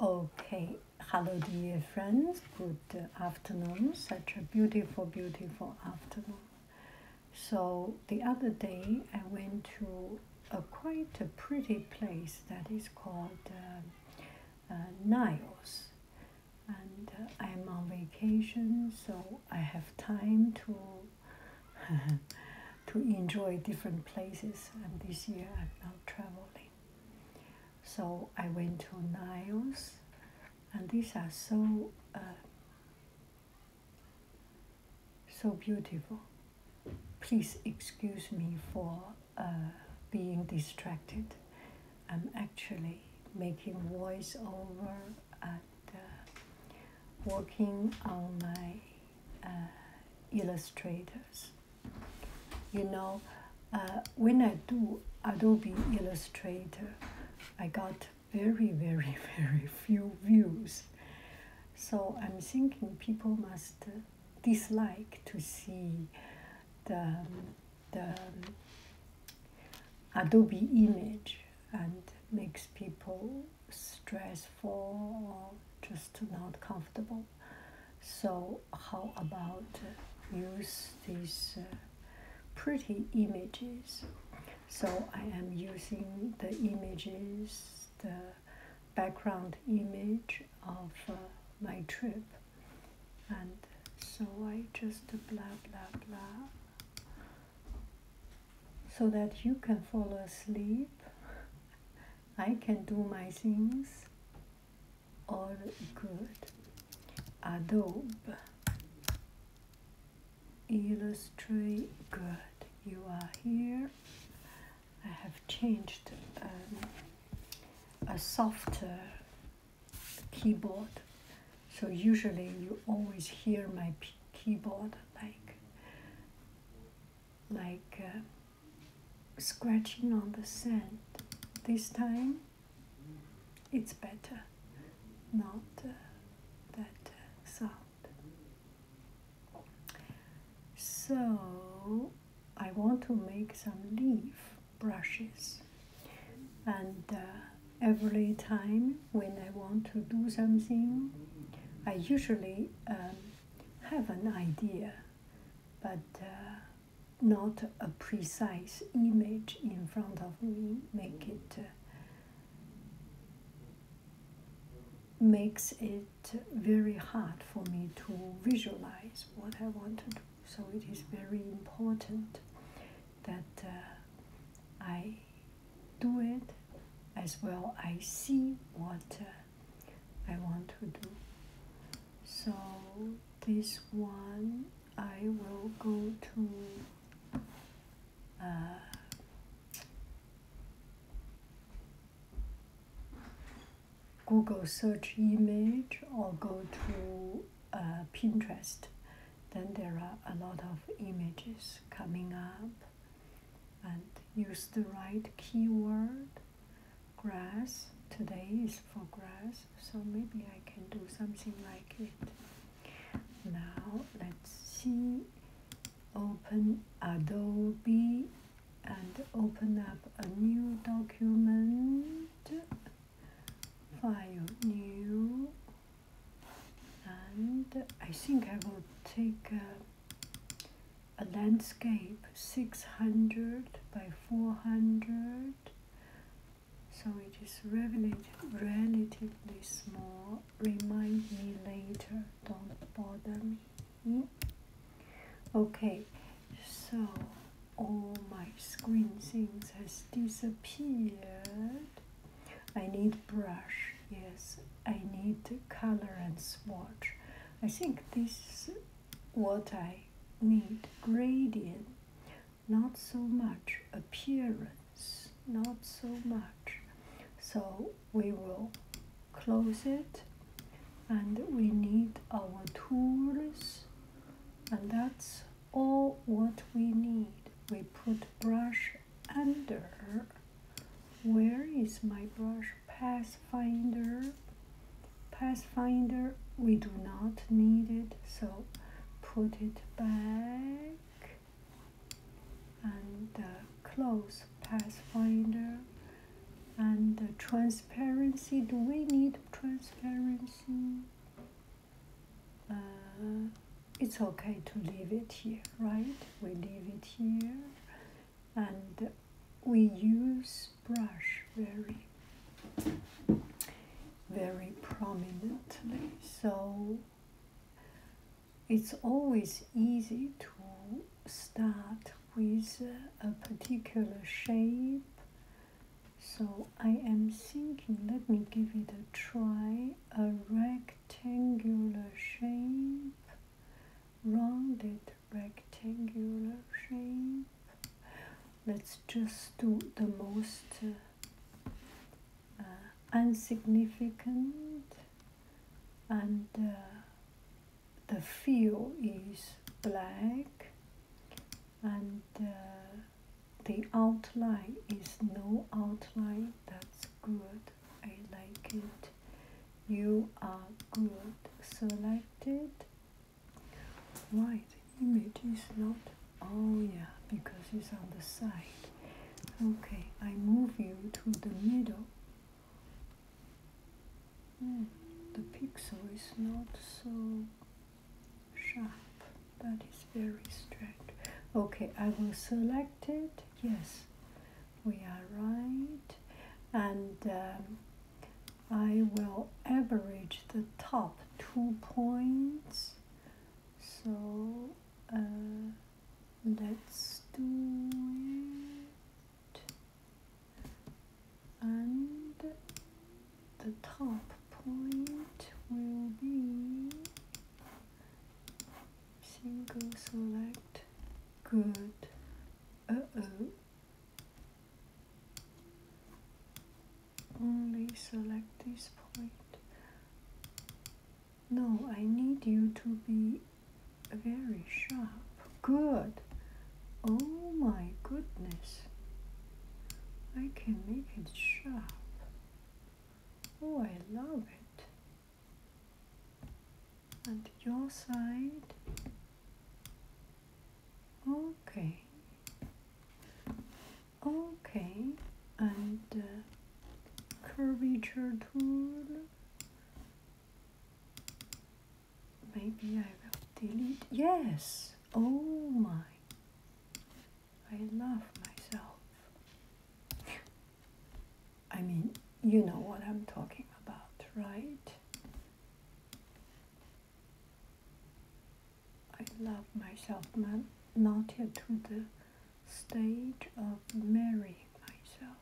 Okay, hello dear friends, good afternoon, such a beautiful, beautiful afternoon. So the other day I went to a quite a pretty place that is called uh, uh Niles. And uh, I'm on vacation, so I have time to to enjoy different places. And this year I'm now traveling. So I went to Niles, and these are so uh, so beautiful. Please excuse me for uh, being distracted. I'm actually making voiceover and uh, working on my illustrators. You know, uh, when I do Adobe Illustrator, I got very, very, very few views. So I'm thinking people must dislike to see the, the Adobe image and makes people stressful or just not comfortable. So how about use these uh, pretty images? So I am using the images, the background image of uh, my trip. And so I just blah, blah, blah. So that you can fall asleep. I can do my things. All good. Adobe. Illustrate. Good. You are here. I have changed um, a softer keyboard. So usually you always hear my keyboard like like uh, scratching on the sand. This time it's better, not uh, that uh, sound. So I want to make some leaf brushes and uh, every time when I want to do something, I usually um, have an idea, but uh, not a precise image in front of me make it uh, makes it very hard for me to visualize what I want to do. So it is very important that uh, I do it as well. I see what uh, I want to do so this one I will go to uh, Google search image or go to uh, Pinterest then there are a lot of images coming up and use the right keyword grass. Today is for grass, so maybe I can do something like it. Now let's see. Open Adobe and open up a new document. File new. And I think I will take a, a landscape 600 by 400 so it is relatively small remind me later don't bother me hmm? okay so all my screen things has disappeared i need brush yes i need color and swatch i think this what I need gradient, not so much appearance, not so much. So we will close it and we need our tools and that's all what we need. We put brush under. Where is my brush? path finder? Pathfinder, we do not need it, so put it back and uh, close Pathfinder and uh, transparency. Do we need transparency? Uh, it's okay to leave it here, right? We leave it here and we use brush very very prominently so it's always easy to start with a particular shape so i am thinking let me give it a try a rectangular shape rounded rectangular shape let's just do the most uh, uh, insignificant and uh, the fill is black and the outline is no outline that's good I like it you are good selected Right image is not oh yeah because it's on the side. Okay, I move you to the middle. Hmm, the pixel is not so sharp. That is very strange. Okay, I will select it. Yes, we are right. And um, I will average the top two points. So uh, let's do it. And the top point will be single select. Good. Uh-oh only select this point. No, I need you to be very sharp. Good. Oh my goodness. I can make it sharp. Oh, I love it. And your side. Okay. Okay. And uh, curvature tool. Maybe I will delete. Yes. Oh my. I love myself. I mean, you know what I'm talking about, right? I love myself not yet to the stage of marrying myself.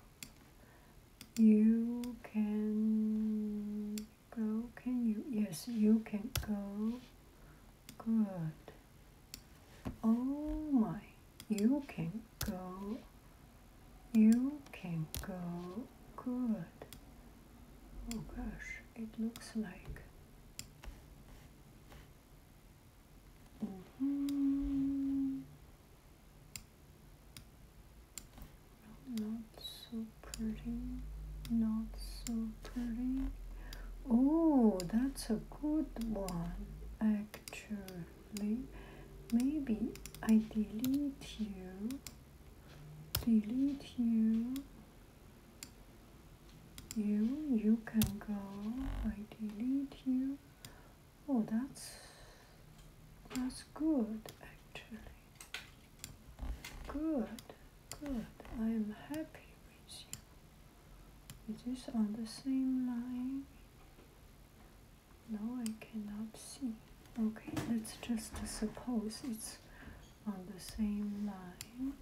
You can go, can you? Yes, you can go. Good. Oh my, you can go. You can go. Good. Oh gosh it looks like. Mm -hmm. Not so pretty, not so pretty. Oh, that's a good one, actually. Maybe I delete you, delete you. You, you can go. I delete you. Oh, that's that's good actually. Good, good. I'm happy with you. It is on the same line. No, I cannot see. Okay, let's just suppose it's on the same line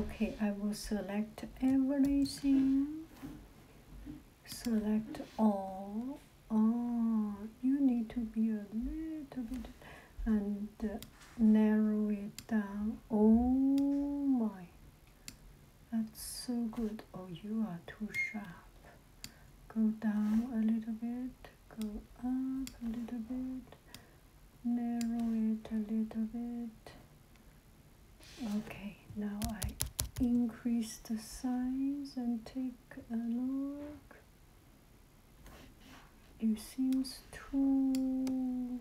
okay I will select everything select all oh you need to be a little bit and narrow it down oh my that's so good oh you are too sharp go down a little bit go up a little bit narrow it a little bit okay now I increase the size and take a look it seems too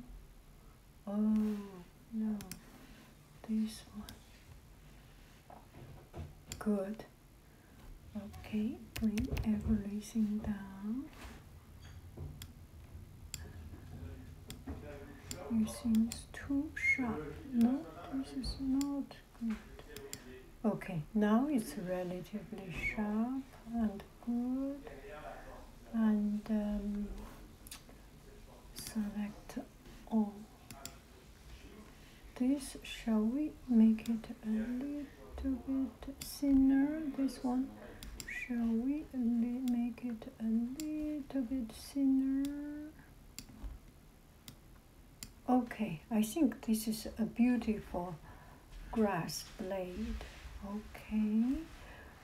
oh no this one good okay bring everything down it seems too sharp. No, this is not good. Okay, now it's relatively sharp and good. And um, select all. This, shall we make it a little little bit thinner, this one. Shall we make it a little bit thinner? Okay, I think this is a beautiful grass blade. Okay,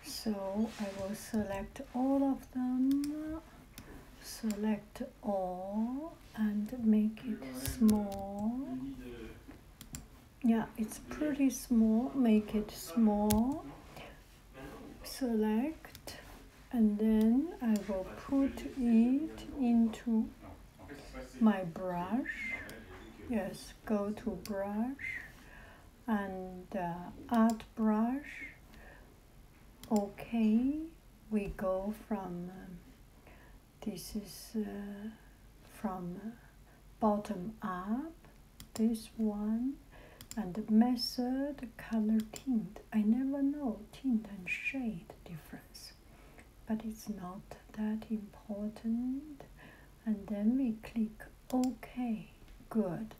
so I will select all of them, select all and make it small yeah it's pretty small make it small select and then I will put it into my brush yes go to brush and uh, add brush okay we go from um, this is uh, from uh, bottom up this one and the method color tint i never know tint and shade difference but it's not that important and then we click ok good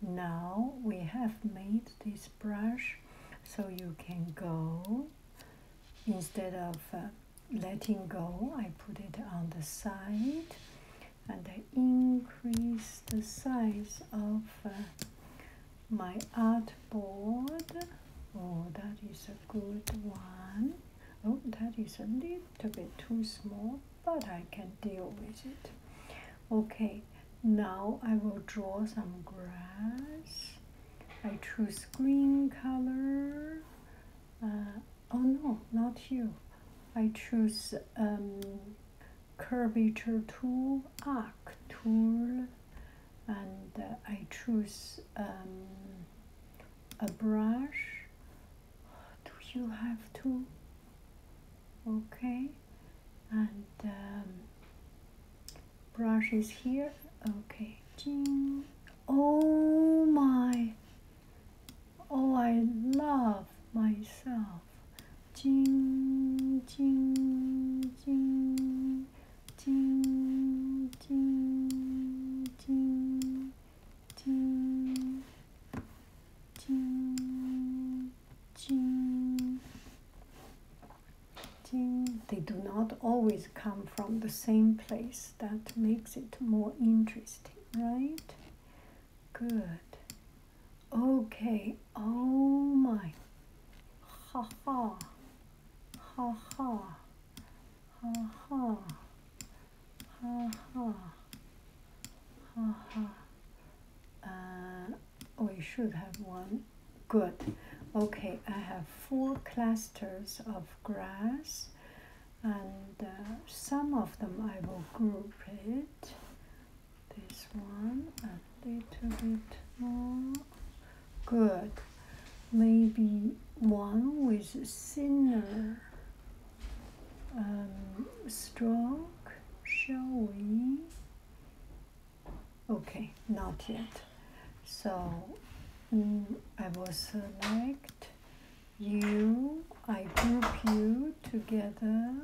now we have made this brush so you can go instead of uh, letting go, I put it on the side and I increase the size of uh, my art board. Oh, that is a good one. Oh, that is a little bit too small, but I can deal with it. Okay, now I will draw some grass. I choose green color. Uh, Oh no, not you. I choose um, curvature tool, arc tool, and uh, I choose um, a brush. Do you have to? Okay, and um, brush is here. Okay, Ding. oh my, Oh, I love myself. Jing, jing, jing, jing, jing, jing, jing, jing, jing, jing. They do not always come from the same place words that makes it more interesting right good okay oh my ha ha ha ha ha ha ha ha ha ha uh, we should have one good okay I have four clusters of grass and uh, some of them I will group it this one a little bit more good maybe one with thinner um, stroke shall we okay not yet so mm, I will select you, I group you together,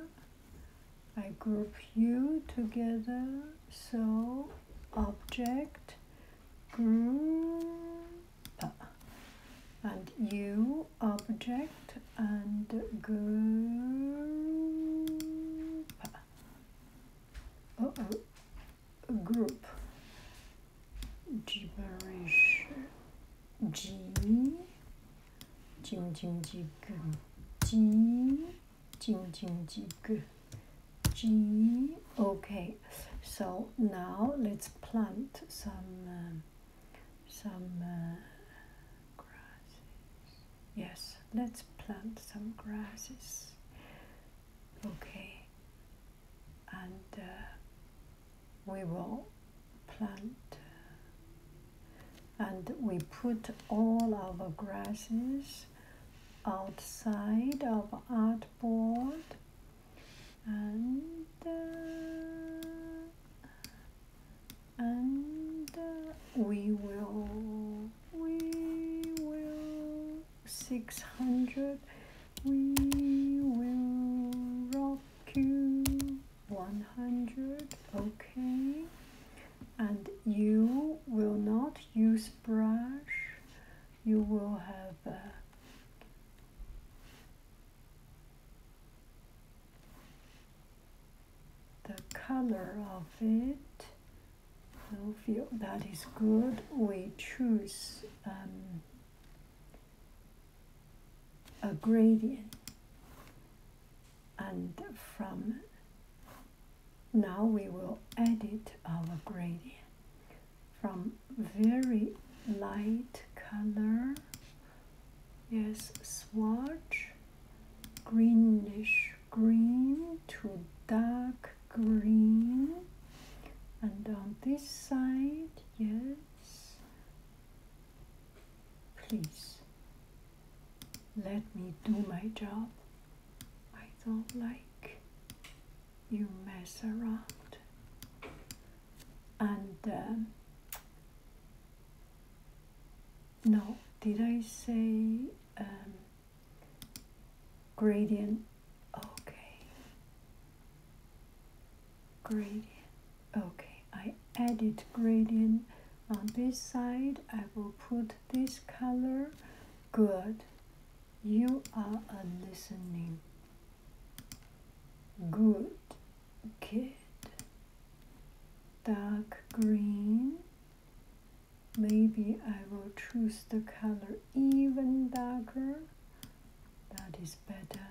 I group you together, so object, group, and you, object, and group, uh -oh. group, gibberish G Jing Jing Jig G Jing Jing Jig G okay so now let's plant some some grasses yes let's plant some grasses okay and uh, we will plant uh, and we put all our grasses outside of artboard and uh, and we will we will 600 we will rock Q 100 okay and you will not use brush you will have uh, the color of it so feel that is good we choose um, a gradient and from now we will edit our gradient from very light color yes swatch greenish green to dark green and on this side yes Please let me do my job. I don't like you mess around. And um, no, did I say um, gradient? Okay, gradient okay I added gradient on this side I will put this color good you are a listening good kid dark green maybe I will choose the color even darker that is better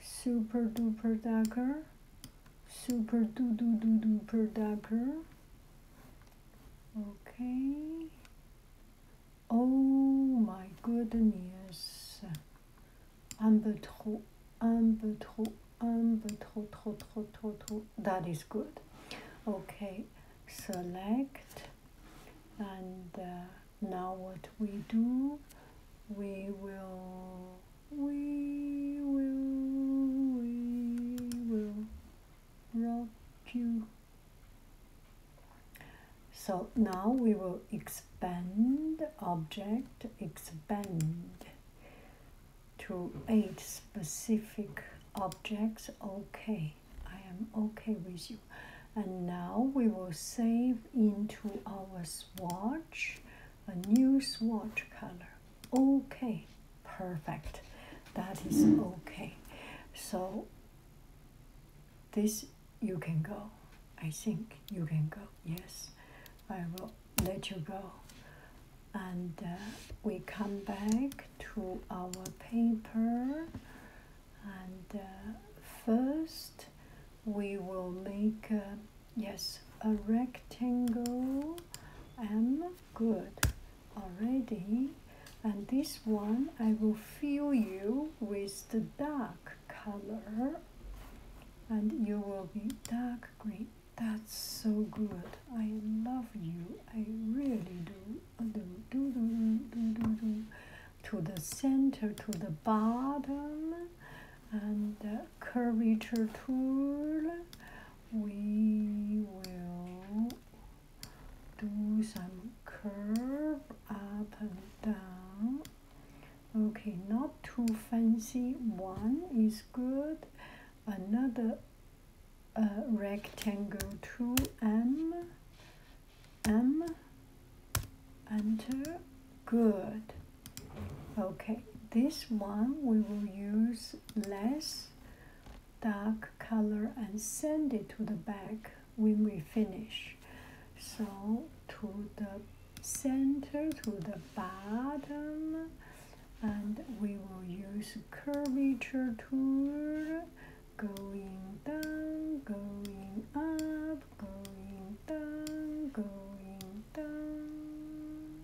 super duper ducker, super doo doo doo duper ducker. Okay. Oh my goodness. Un peu trop, un peu trop, un peu trop, That is good. Okay. Select and. Uh, now what we do we will we will we will rock you so now we will expand object expand to eight specific objects okay i am okay with you and now we will save into our swatch a new swatch color. Okay, perfect. That is okay. So, this you can go. I think you can go. Yes, I will let you go. And uh, we come back to our paper. And uh, first, we will make. Yes, a rectangle I'm good, already. And this one, I will fill you with the dark color and you will be dark green. That's so good. I love you. I really do. do, do, do, do, do, do. To the center, to the bottom, and curvature tool we will do some curve up and down okay not too fancy one is good another uh, rectangle 2m m enter good okay this one we will use less dark color and send it to the back when we finish so to the center to the bottom and we will use curvature tool going down going up going down, going down.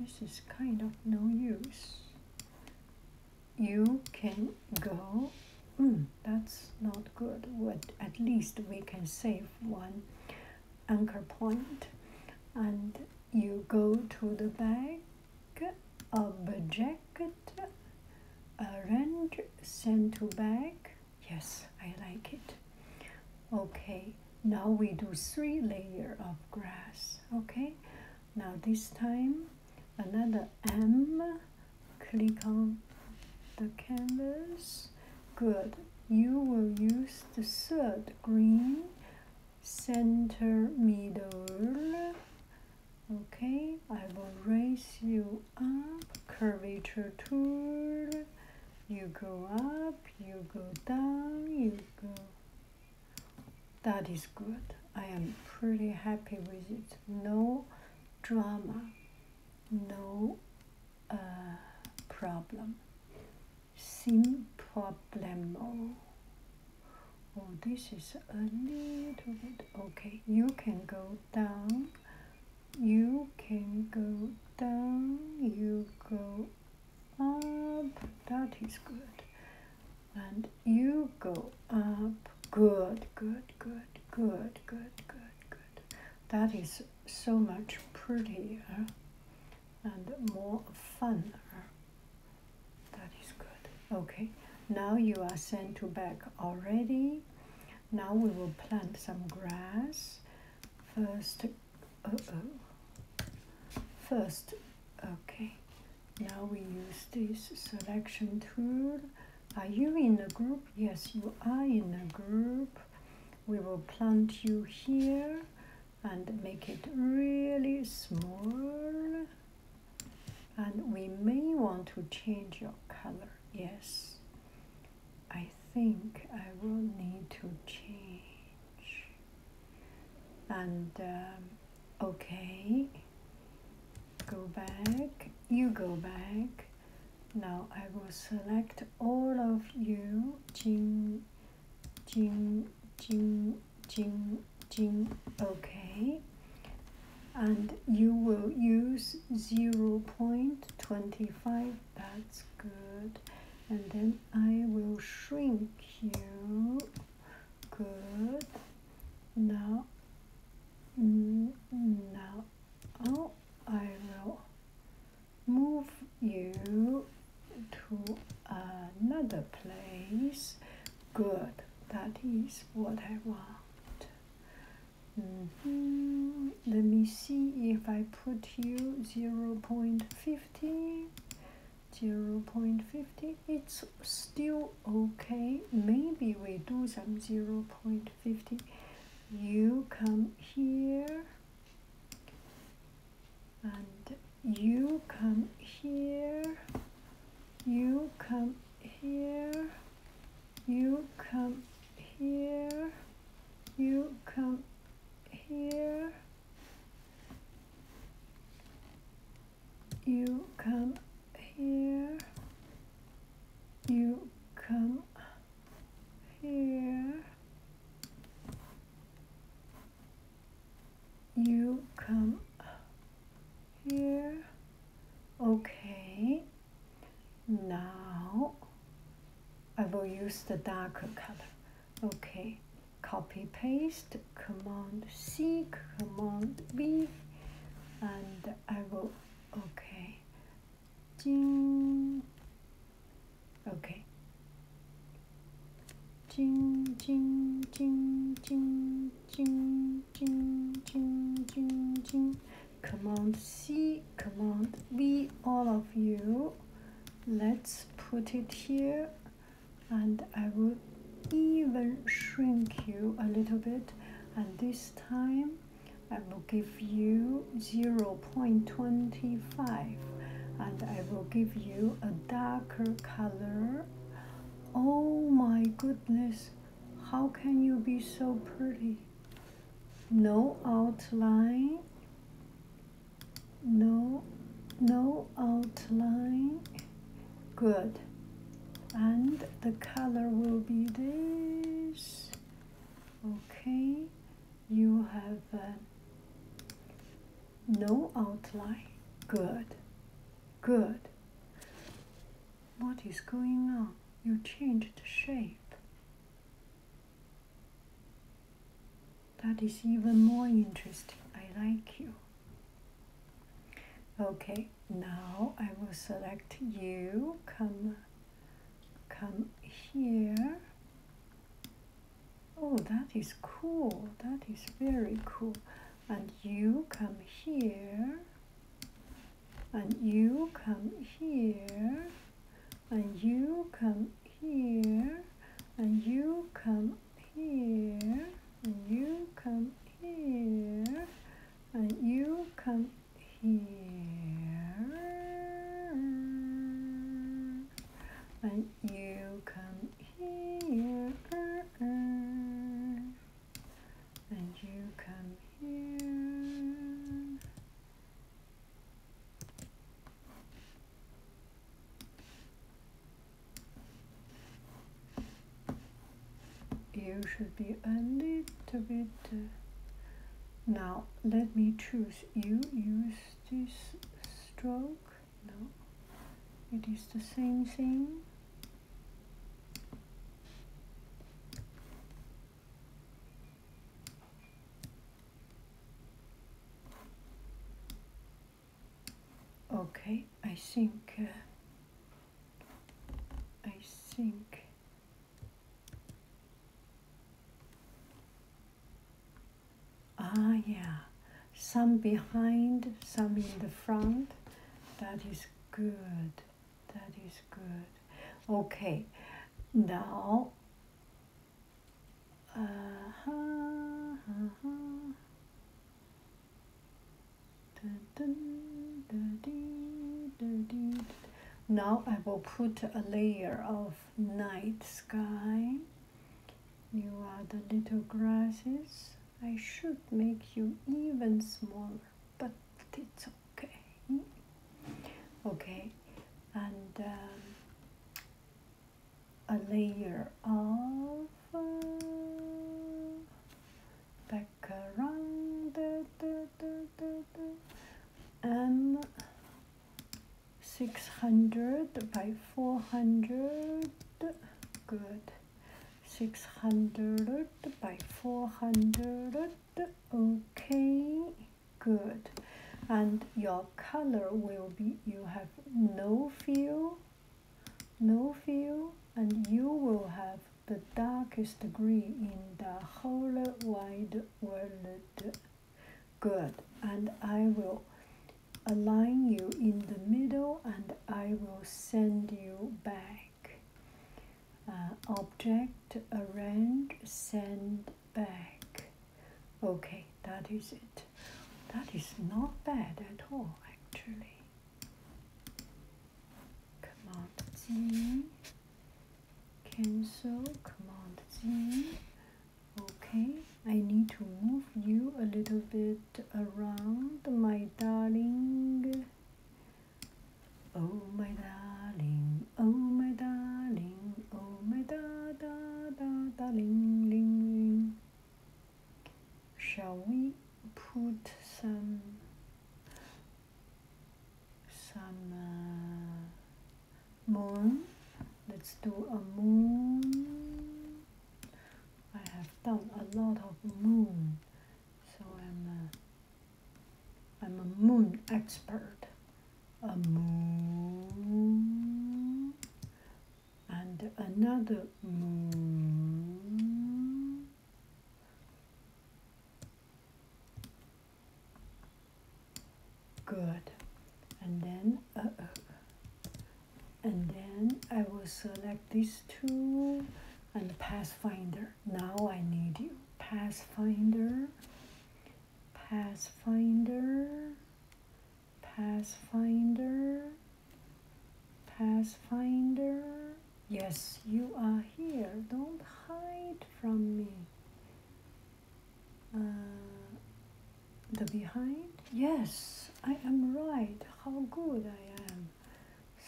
This is kind of no use. You can go. Mm, that's not good. But at least we can save one anchor point, and you go to the back object red, orange center back. Yes, I like it. Okay, now we do three layer of grass. Okay, now this time another M. Click on the canvas. Good. You will use the third green center middle okay I will raise you up curvature tool you go up you go down you go that is good I am pretty happy with it no drama no uh, problem sin problemo oh this is a little bit okay you can go down you can go down you go up that is good and you go up good good good good good good good that is so much prettier and more fun. that is good okay now you are sent to back already now we will plant some grass. First, uh, uh, First, okay. Now we use this selection tool. Are you in a group? Yes, you are in a group. We will plant you here and make it really small and we may want to change your color yes i think i will need to change and um, okay go back you go back now i will select all of you jing jing jing jing jing okay and you will use 0.25 that's good and then I will shrink you good now mm, now oh, I will move you to another place good that is what I want Mm -hmm. Let me see if I put you 0 0.50. 0.50 it's still okay maybe we do some 0.50 you come here and you come here you come here you come here, you come here, you come here, you come here, you come here. Okay. Now I will use the darker color. Okay, copy paste, command C, command V, and I will, okay, Jing, okay, Jing, Jing, Jing, Jing, Jing, Jing, Jing, Jing, Jing command C, command V, all of you. Let's put it here and I will even shrink you a little bit and this time I will give you 0.25 and I will give you a darker color. Oh my goodness, how can you be so pretty? no outline no no outline good and the color will be this okay you have uh, no outline good good what is going on you change the shape. That is even more interesting. I like you. Okay, now I will select you. Come, come here. Oh, that is cool. That is very cool. And you come here and you come here and you come here and you come here and you come here and you come here and you come here and you come here. You should be a little bit. Uh, now let me choose. You use this stroke. No, it is the same thing okay I think uh, I think ah yeah some behind some in the front that is good that is good. Okay, now. Uh-huh, uh-huh. Now I will put a layer of night sky. You are the little grasses. I should make you even smaller, but it's okay okay and um, a layer of uh, background m um, 600 by 400 good 600 by 400 okay good and your color will be you have no fill no fill and you will have the darkest green in the whole wide world good and I will align you in the middle and I will send you back uh, object around, send back okay that is it that is not bad at all actually command Z cancel command Z okay I need to move you a little bit around my darling Oh my darling, oh my darling, oh my da da da da ling ling ling. Shall we put some some uh, moon? Let's do a moon. I have done a lot of moon, so I'm uh, I'm a moon expert. A moon and another moon. Good. And then, and then I will select these two and the Pathfinder. Now I need you. Pathfinder, Pathfinder, Pathfinder, Pathfinder. Yes, you are here. Don't hide from me. Uh, the behind? Yes, I am right. How good I am.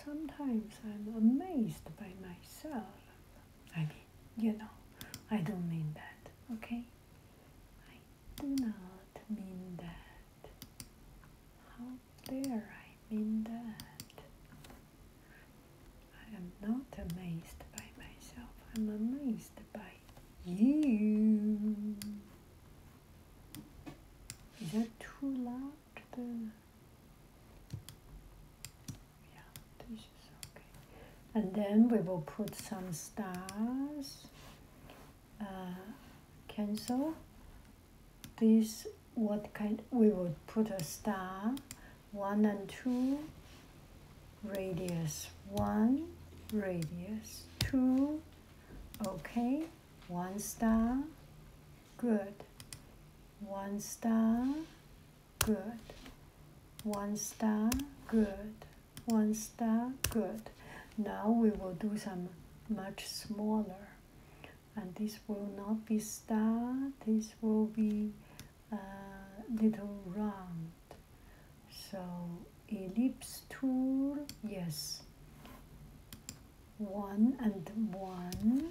Sometimes I'm amazed by myself. I you know, I don't mean that, okay? I do not mean that. How dare I mean that? I am not amazed by myself, I'm amazed by you. Is that too loud? yeah this is okay and then we will put some stars uh, cancel this what kind we will put a star one and two radius one radius two okay one star good one star good. One star, good. One star, good. Now we will do some much smaller. And this will not be star, this will be a uh, little round. So ellipse tool, yes. One and one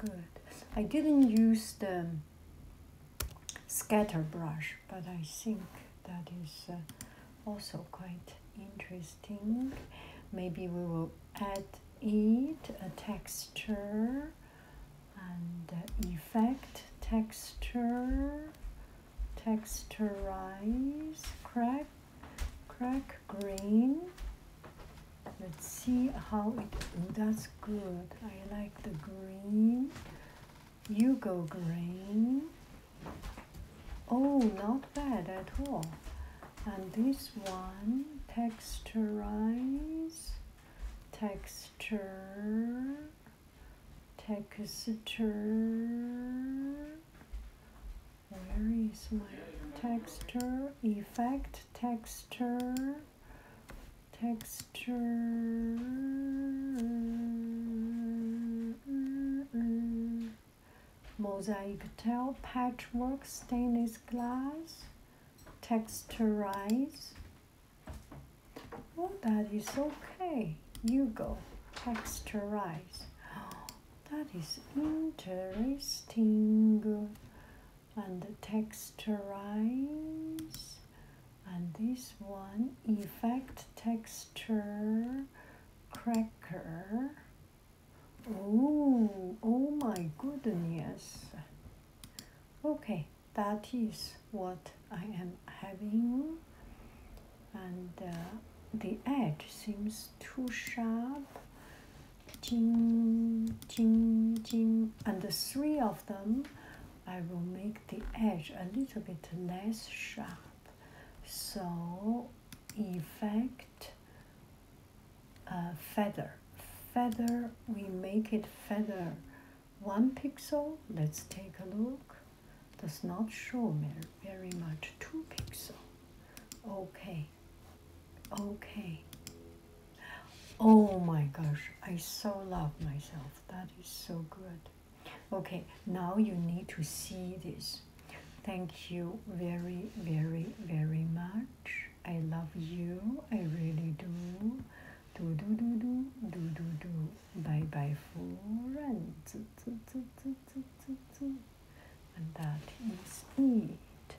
good. I didn't use the um, scatter brush, but I think that is uh, also quite interesting. Maybe we will add it a texture and uh, effect texture, texturize, crack, crack green, Let's see how it, oh, that's good. I like the green. You go green. Oh, not bad at all. And this one, texturize, texture, texture. Where is my texture? Effect, texture texture. Mosaic tile, patchwork, stainless glass, texturize. Oh, that is okay. You go, texturize. Oh, that is interesting and texturize and this one effect texture cracker oh oh my goodness okay that is what I am having and uh, the edge seems too sharp Ding ching, ching. and the three of them I will make the edge a little bit less sharp so effect uh, feather feather we make it feather one pixel let's take a look does not show me very much two pixel okay okay Oh my gosh, I so love myself. That is so good. Okay, now you need to see this. Thank you very, very, very much. I love you. I really do. Do do do do do do do. Bye bye, friend. And that is it.